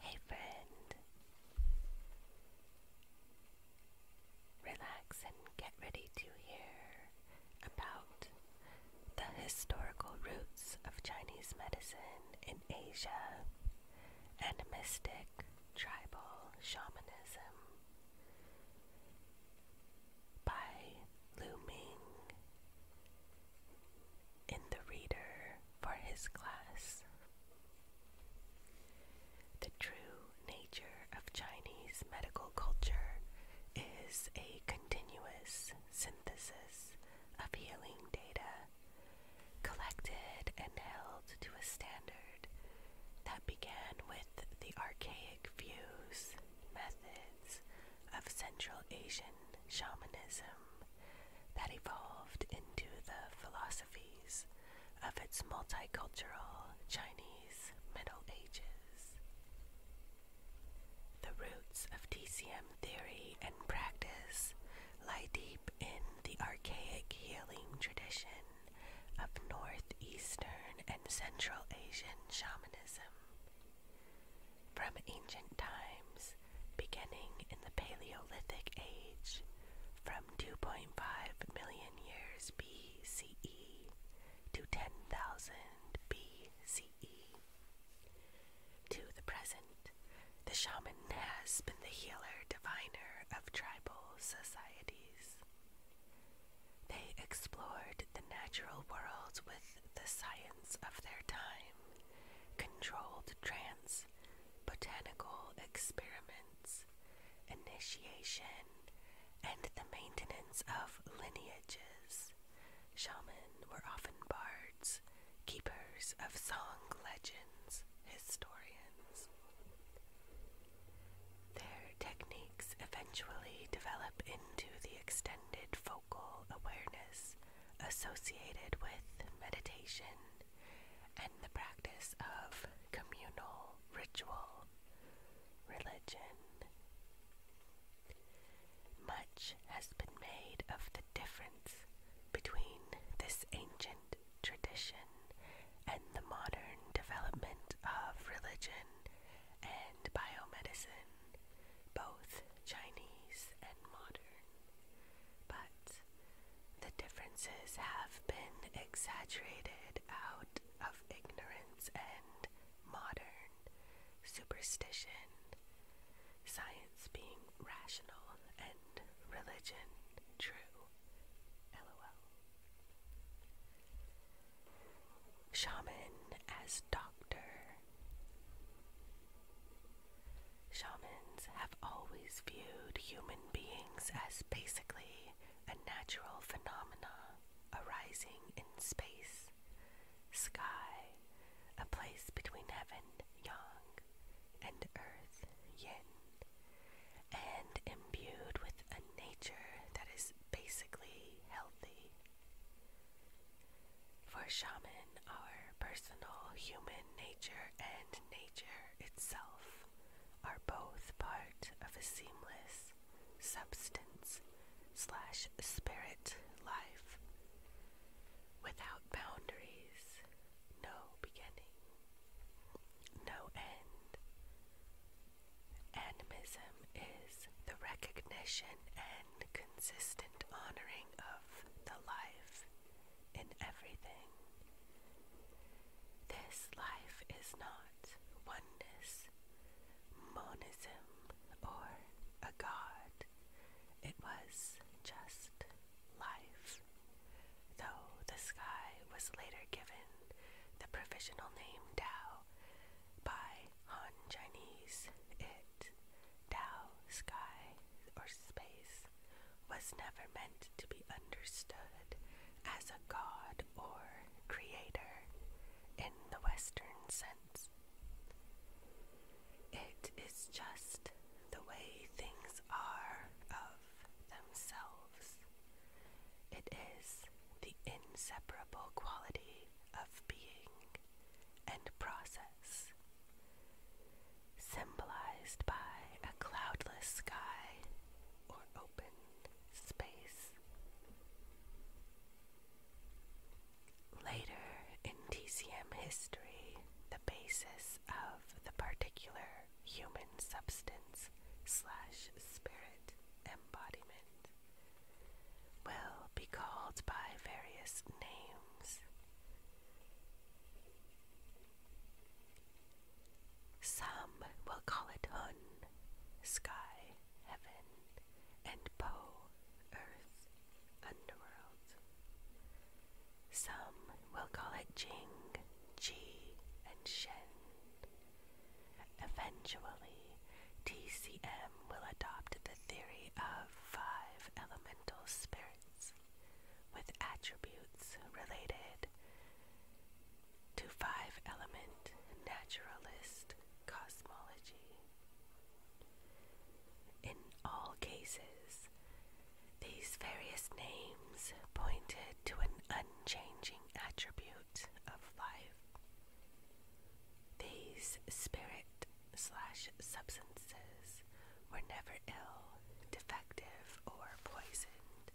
Hey friend, relax and get ready to hear about the historical roots of Chinese medicine in Asia and mystic tribal shamanism by Lu in the reader for his class. The true nature of Chinese medical culture is a continuous synthesis of healing data collected and held to a standard that began with the archaic views, methods, of Central Asian shamanism that evolved into the philosophies of its multicultural Chinese Middle Ages. The roots of TCM theory and practice lie deep in the archaic healing tradition of Northeastern and Central Asian shamanism. From ancient times, beginning in the Paleolithic Age, from 2.5 million years BCE to 10,000 BCE, to the present, the shaman has been the healer diviner of tribal societies. They explored the natural world with the science of their time, controlled trance, botanical experiments, initiation, and the maintenance of lineages. Shamans were often bards, keepers of song legends, historians. Their techniques eventually develop into the extended awareness associated with meditation and the practice of communal ritual religion. Much has been made of the difference between this ancient tradition and the modern development of religion and biomedicine both Chinese and modern, but the differences have been exaggerated out of ignorance and modern superstition, science being rational and religion true. LOL. Shaman as doctor. Shamans have always viewed human beings as basically a natural phenomena arising in space, sky, a place between heaven, yang, and earth, yin, and imbued with a nature that is basically healthy. For shaman, our personal human nature and nature itself are both part of a seamless substance slash spirit life without boundaries, no beginning, no end. Animism is the recognition and consistent honoring of the life in everything. This life is not oneness, monism, or a god. It was just life, though the sky was later given the provisional name Dao by Han Chinese, it, Tao, sky, or space, was never meant to be understood as a god or creator in the Western sense. It is just the way things are of themselves. It is the inseparable quality of being and process, symbolized by a cloudless sky or open space. Later in TCM history, the basis of the particular human substance slash spirit embodiment will be called by various names. Some will call it Hun, sky, heaven, and Po, earth, underworld. Some will call it Jing, Ji, and Shen. Eventually, TCM will adopt the theory of five elemental spirits with attributes related to five element naturalist cosmology. In all cases, these various names pointed to an unchanging attribute of life. These spirit slash substances were never ill, defective, or poisoned.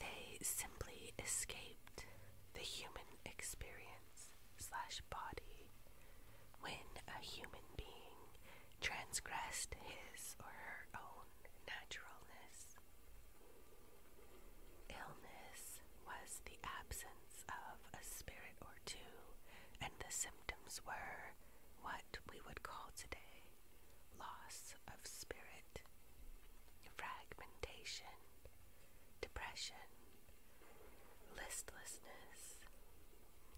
They simply escaped the human experience slash body when a human being transgressed his or her own naturalness. Illness was the absence of a spirit or two, and the symptoms were what we would call today loss of spirit, fragmentation, depression, listlessness,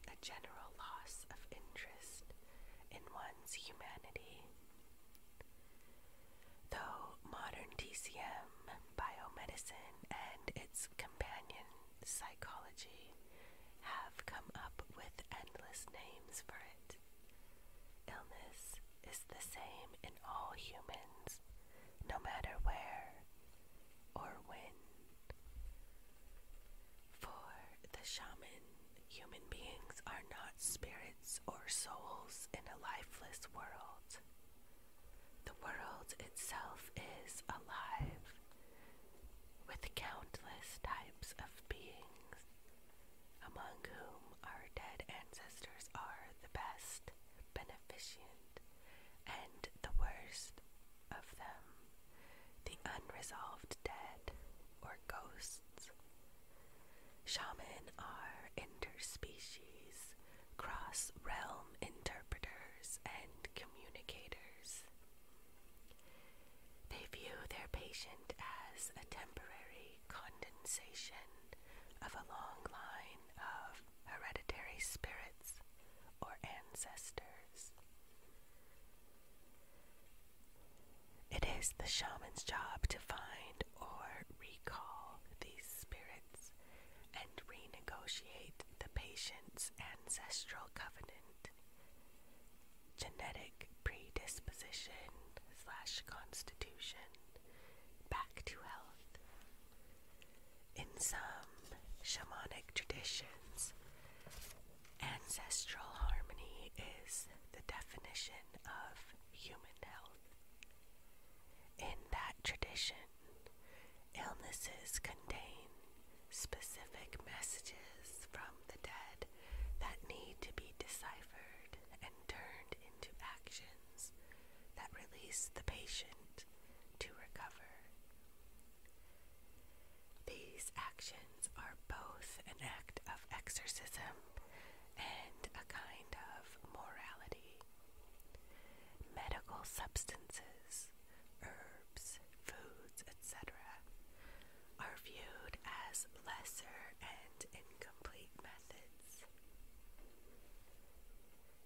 a general loss of interest in one's humanity though modern TCM, biomedicine, and its companion psychology have come up with endless names for it. Illness is the same in all humans, no matter where or when. For the shaman, human beings are not spirits or souls in a lifeless world. The world itself is alive with countless types of beings, among whom our dead ancestors are the best, beneficent, and the worst of them, the unresolved dead or ghosts. Shamans are interspecies cross realm interpreters and communicators. They view their patient as a temporary condensation of a long line of hereditary spirits or ancestors. It is the shaman's job to find or recall these spirits renegotiate the patient's ancestral covenant. Genetic predisposition slash constitution back to health. In some shamanic traditions, ancestral harmony is the definition of human health. In that tradition, Illnesses contain specific messages from the dead that need to be deciphered and turned into actions that release the patient to recover. These actions are both an act of exorcism and a kind of morality. Medical substances, herbs, foods, etc., are viewed as lesser and incomplete methods.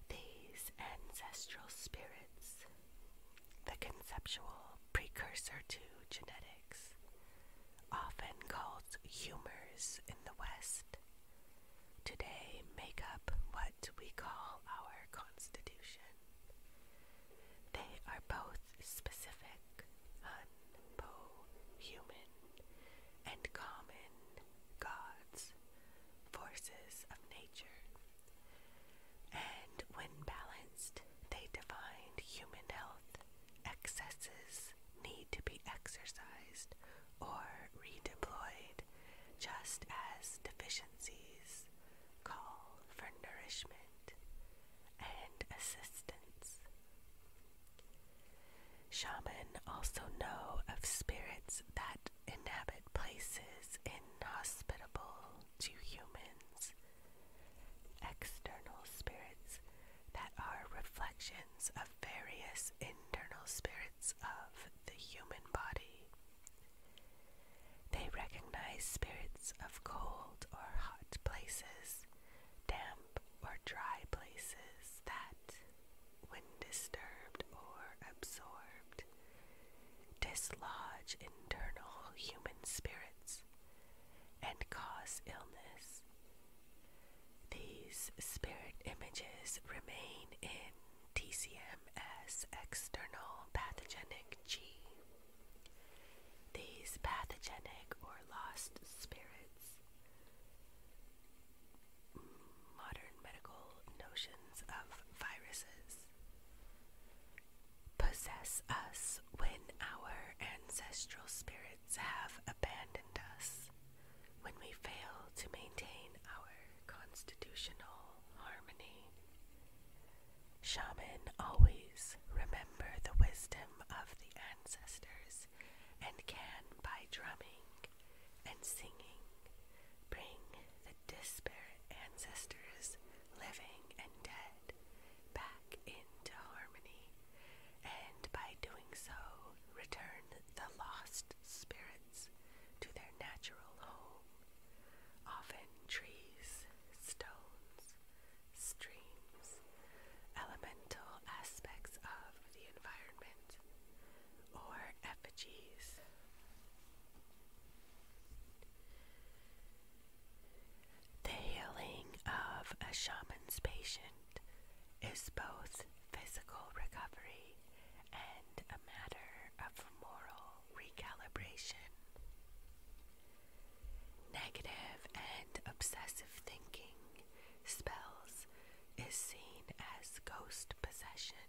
These ancestral spirits, the conceptual precursor to genetics, often called humors in the West, today make up what we call our Constitution. They are both specific, unpo human, and common gods, forces of nature. And when balanced, they define human health. Excesses need to be exercised or redeployed just as deficiencies call for nourishment and assistance. shamans also know of spirits that inhabit places inhospitable to humans, external spirits that are reflections of various internal spirits of the human body. They recognize spirits of cold or hot places, damp or dry places that, when disturbed or absorbed, dislodge internal human spirits and cause illness. These spirit images remain in TCMS external pathogenic G. These pathogenic or lost spirits, mm, modern medical notions of viruses, possess us when our ancestral spirits have abandoned us when we fail to maintain our constitutional harmony. shamans always remember the wisdom of the ancestors and can, by drumming and singing, bring the disparate ancestors, living and dead, back into harmony, and by doing so, return the lost spirit to their natural home, often trees, stones, streams, elemental aspects of the environment, or effigies. The healing of a shaman's patient is both physical recovery and a matter of moral recalibration. Negative and obsessive thinking, spells, is seen as ghost possession.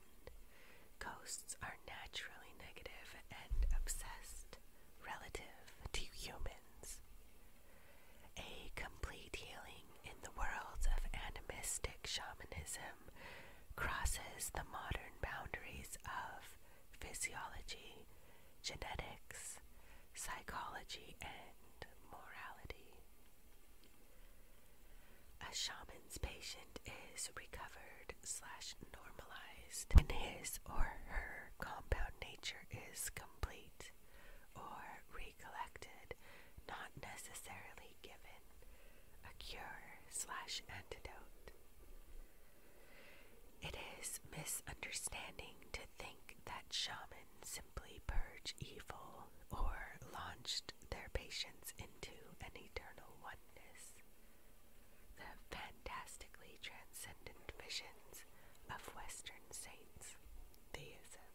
Ghosts are naturally negative and obsessed relative to humans. A complete healing in the world of animistic shamanism crosses the modern boundaries of physiology, genetics, psychology, and morality. A shaman's patient is recovered slash normalized and his or her compound nature is complete or be collected, not necessarily given, a cure slash antidote. It is misunderstanding to think that shamans simply purge evil or launched their patients into an eternal oneness. The fantastically transcendent visions of Western saints, theism.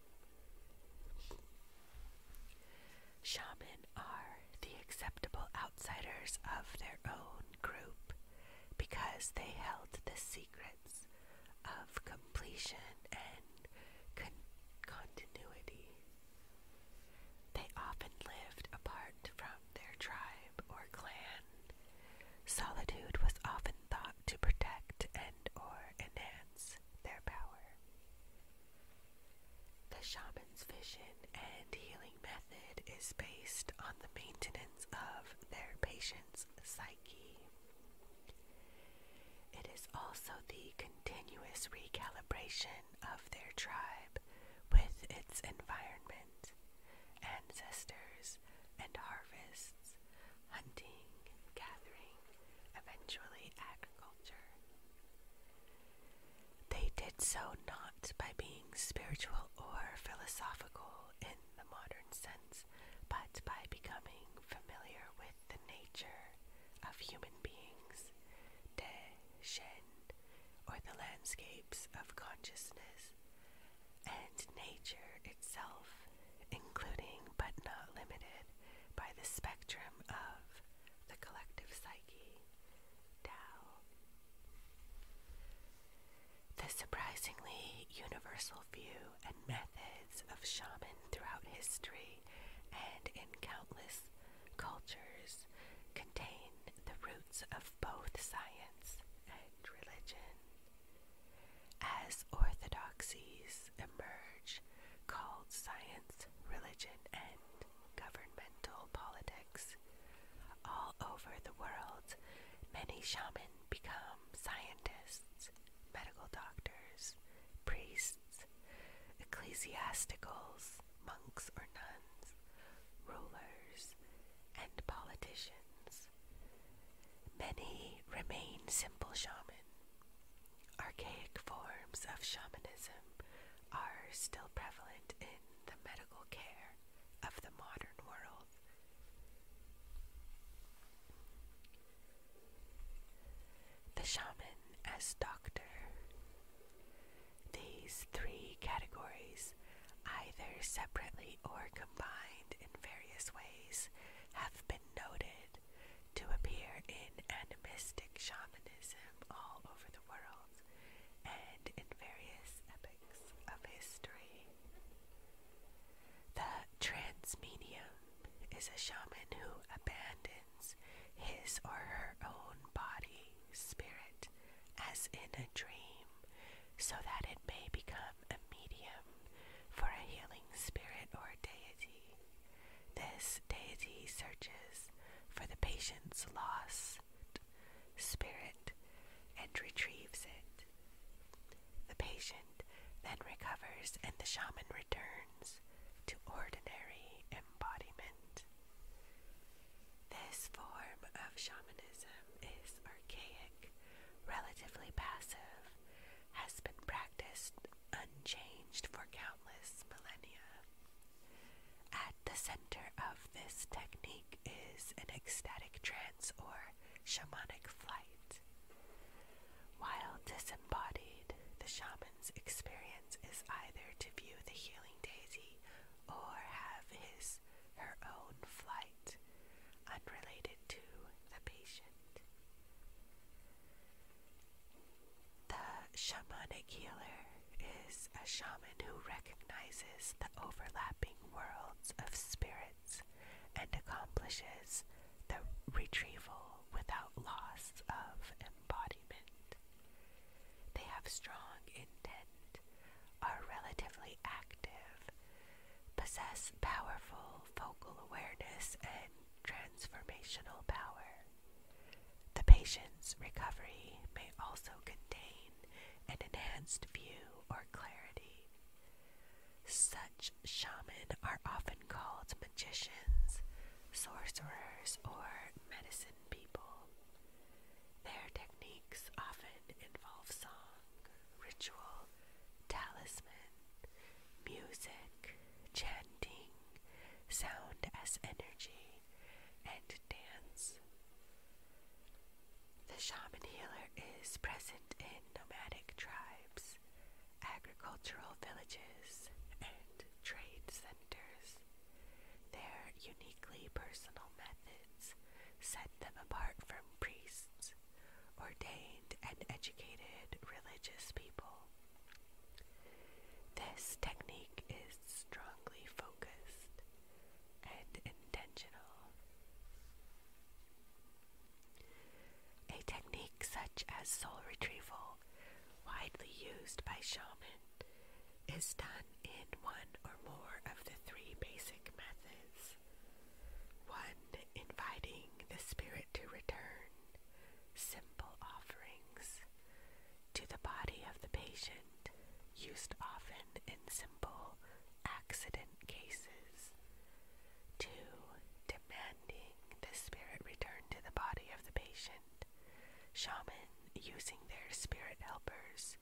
Shaman are the acceptable outsiders of their own group because they held the secrets of completion and continuity. They often lived apart from their tribe or clan. Solitude was often thought to protect and or enhance their power. The shaman's vision and healing method is based on the maintenance of their patient's psyche. It is also the continuous recalibration of their tribe with its environment, ancestors, and harvests, hunting, gathering, eventually agriculture. They did so not by being spiritual or philosophical in the modern sense, but by becoming familiar with the nature of human beings, De Shen, or the landscapes of consciousness, and nature itself, including but not limited by the spectrum of the collective psyche, Tao. The surprisingly universal view and methods of shaman throughout history and in countless cultures contain the roots of both science and religion. As orthodoxies emerge called Science, Religion, and Governmental Politics. All over the world, many shamans become scientists, medical doctors, priests, ecclesiasticals, monks or nuns, rulers, and politicians. Many remain simple shamans Archaic forms of shamanism are still prevalent in the medical care of the modern world. The shaman as doctor. These three categories, either separately or combined in various ways, have been noted to appear in animistic shamanism all over the world and in various epochs of history. The transmedium is a shaman who abandons his or her own body, spirit, as in a dream, so that it may become a medium for a healing spirit or deity. This deity searches for the patient's lost spirit and retrieves it. The patient then recovers and the shaman returns to ordinary embodiment. This form of shamanism is archaic, relatively passive, has been practiced unchanged for countless millennia. At the center of this technique is an ecstatic trance or shamanic flight. While disembodied, the shaman's experience is either to view the healing daisy or have his her own flight unrelated to the patient. The shamanic healer is a shaman who recognizes the overlapping worlds of spirits and accomplishes the retrieval without loss of embodiment. They have strong intent, are relatively active, possess powerful focal awareness and transformational power. The patient's recovery may also contain an enhanced view or clarity. Such shamans are often called magicians, sorcerers, or medicine people. Their techniques often involve song, ritual, talisman, music, chanting, sound as energy, and dance. The shaman healer is present in nomadic tribes, agricultural villages, and trade centers. Their uniquely personal methods set them apart from priests, ordained and educated religious people. This technique is strongly focused and intentional. A technique such as soul retrieval, widely used by shaman, is done in one or more of the three basic methods. 1. Inviting the spirit to return, simple offerings to the body of the patient, used often in simple accident cases. To Demanding the spirit return to the body of the patient. Shaman using their spirit helpers,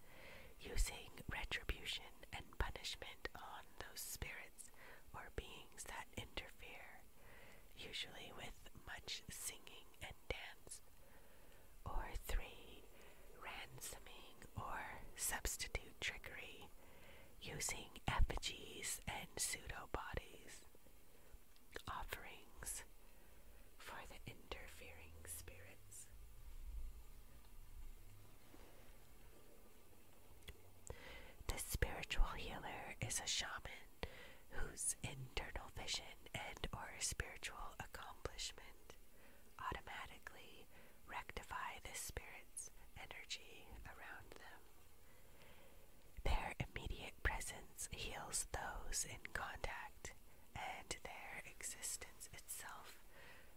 using retribution and punishment on those spirits or beings that interfere usually with much singing and dance, or three, ransoming or substitute trickery, using effigies and pseudo bodies, offerings for the interfering spirits. The spiritual healer is a shaman whose internal vision and or spiritual accomplishment automatically rectify the spirit's energy around them. Their immediate presence heals those in contact, and their existence itself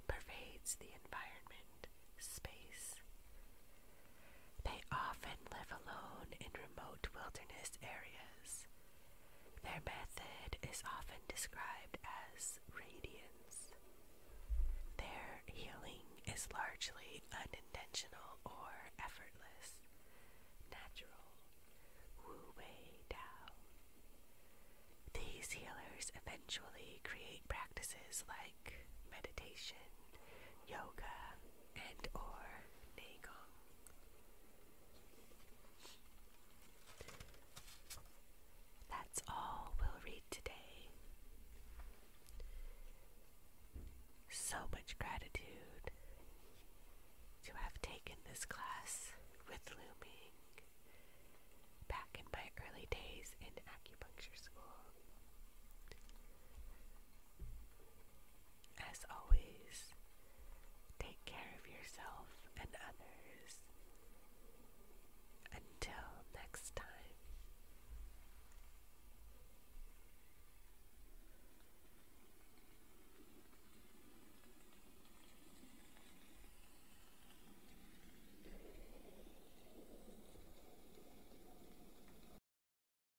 pervades the environment, space, they often live alone in remote wilderness areas. Their method is often described as radiance. Their healing is largely unintentional or effortless, natural, Wu Wei Dao. These healers eventually create practices like meditation, yoga and or Qigong. That's all we'll read today. So much gratitude to have taken this class with Looming back in my early days in acupuncture school. As always, take care of yourself and others. Until next time.